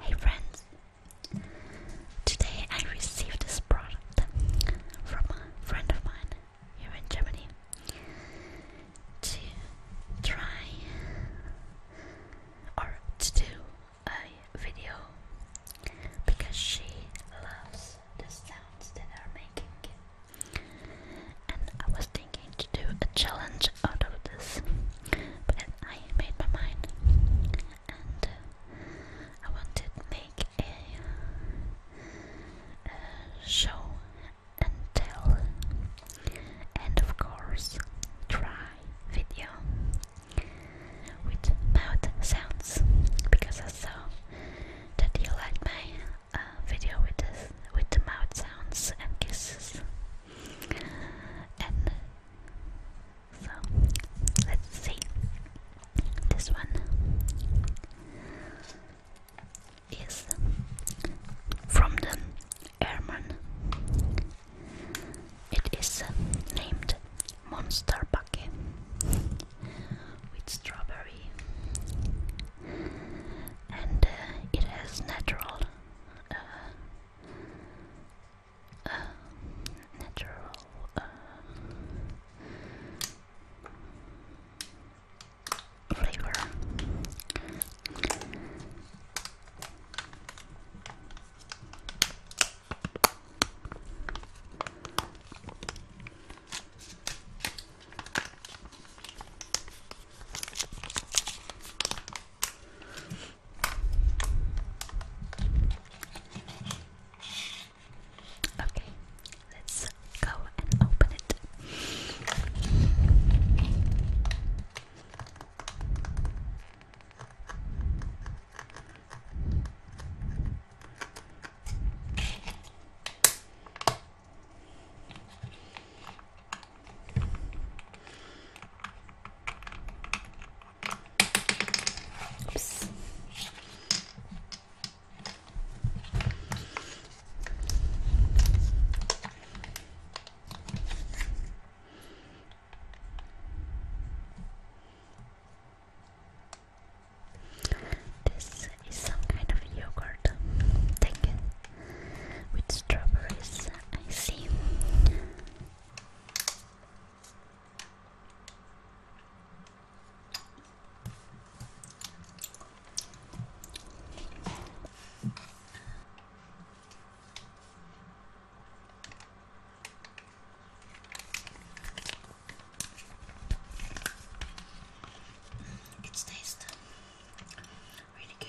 Hey friends! Today I received this product from a friend of mine here in Germany to try or to do a video because she loves the sounds that are making and I was thinking to do a challenge out of this, but I made my mind, and uh, I wanted to make a show and tell, and of course try video with mouth sounds because I saw that you like my uh, video with this, with the mouth sounds and kisses. And so let's see this one is from the airman. It is named Monster Bucket with strawberry and uh, it has natural, uh, uh, natural. Uh, flavor. Okay, let's go and open it. Oops. This is some kind of yogurt thing with strawberries. I see. It tastes really good.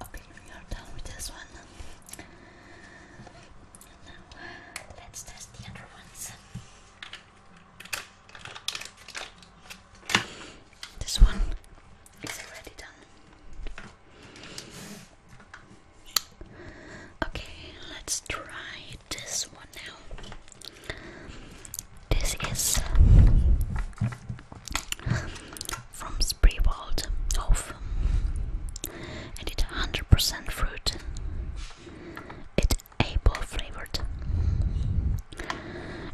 Okay, we are done with this one. Now let's test the other ones. This one is already done. Okay, let's try this one now. This is from Spreewald Hof, and it's 100% fruit. It's apple flavored.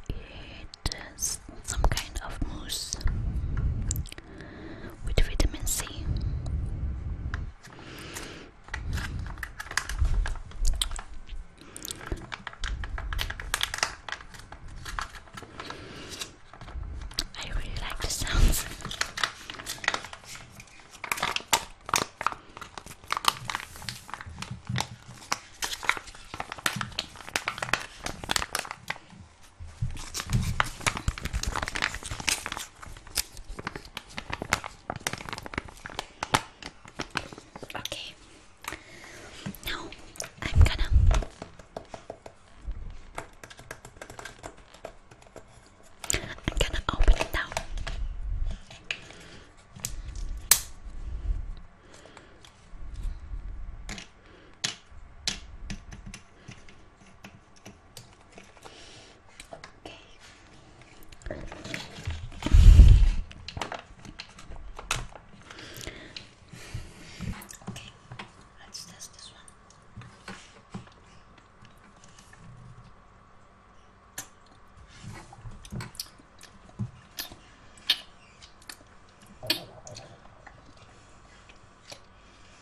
It is some kind of mousse with vitamin C. I really like the sounds. Okay. Now I'm gonna I'm gonna open it now. Okay. Okay, let's test this one.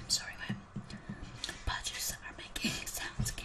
I'm sorry, my are making sounds again.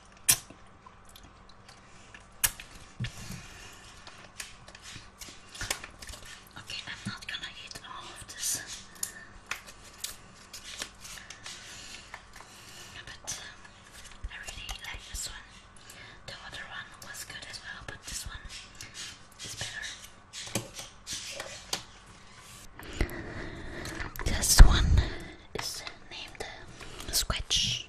Okay, I'm not gonna eat all this, but uh, I really like this one. The other one was good as well, but this one is better. This one is named uh, Squatch.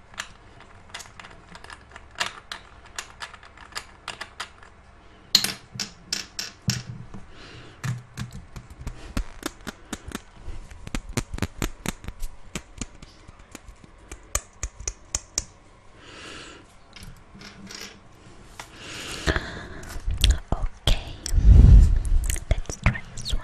Okay, let's try this one.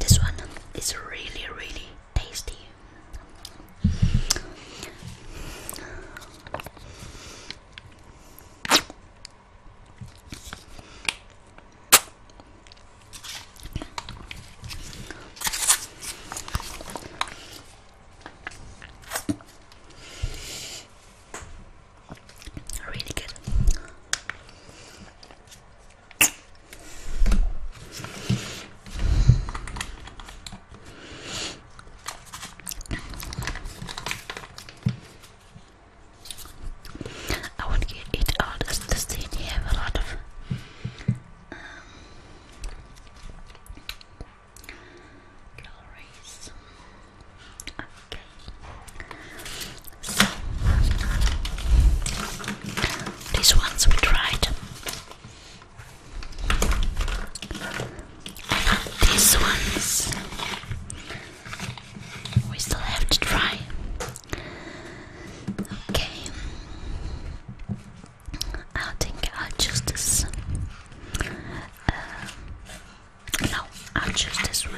This one is really, really tasty. Really good. I want to eat all this. Does they have a lot of calories? Um, okay. These ones we tried. And these ones we still have to try. Okay. I think I'll choose this. no, I'll choose this one.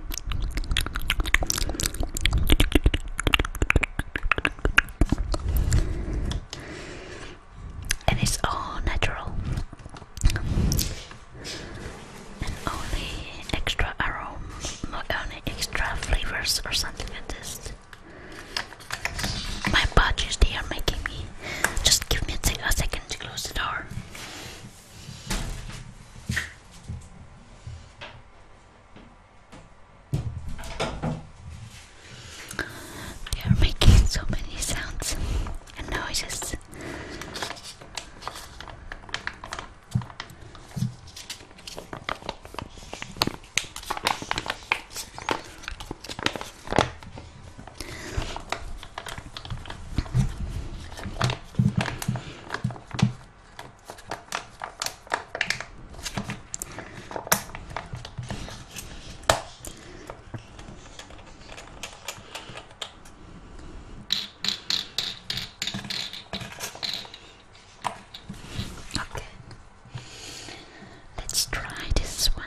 And it's all natural and only extra aroma, not only extra flavors or something like this. My budgies, they are making me. Just give me a second to close the door. They are making so many sounds and noises. Okay, let's try this one.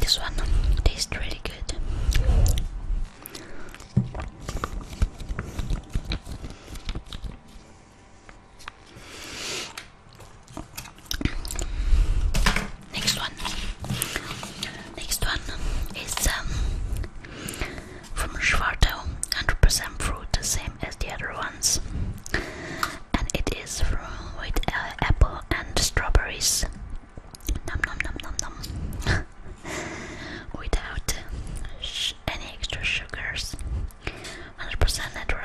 This one tastes really good. Next one. Next one is um, from Schwartau, 100% fruit, the same as the other ones. And it is from with uh, apple and strawberries. Nom nom nom nom nom. without any extra sugars. 100% natural.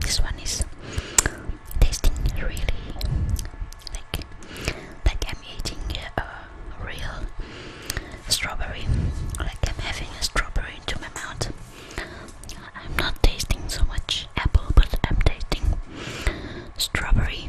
This one is tasting really like like I'm eating a real strawberry, like I'm having a strawberry into my mouth. I'm not tasting so much apple, but I'm tasting strawberry.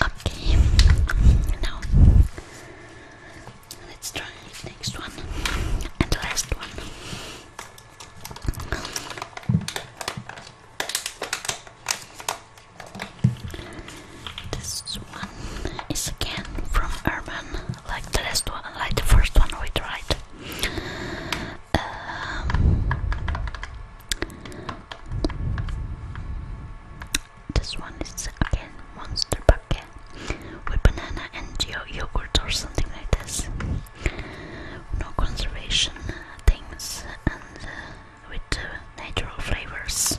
Okay, now let's try next one and last one. This one is again from Urban, like the last one, like the first one we tried. Um, this one is again monster bucket with banana and yo yogurt or something like this. No conservation things and uh, with natural flavors.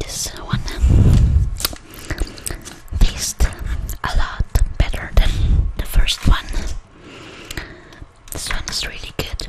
This one um, tastes a lot better than the first one. This one is really good.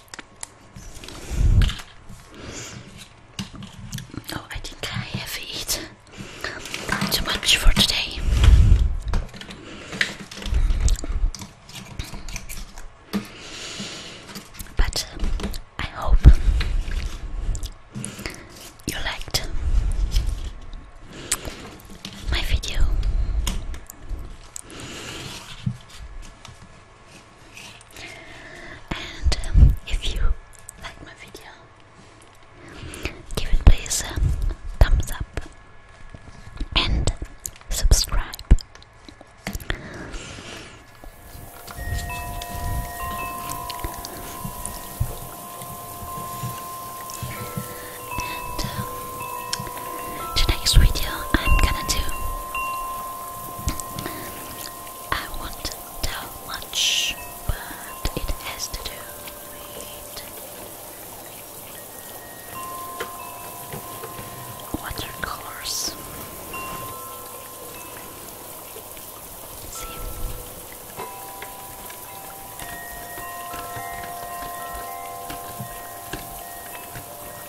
Oh, I think I have eaten too much for today. But uh, I hope you liked my video. And um, if you like my video, give it please a um, thumbs up and subscribe and the next video I'm gonna do. I won't tell much, but it has to do with watercolors. See.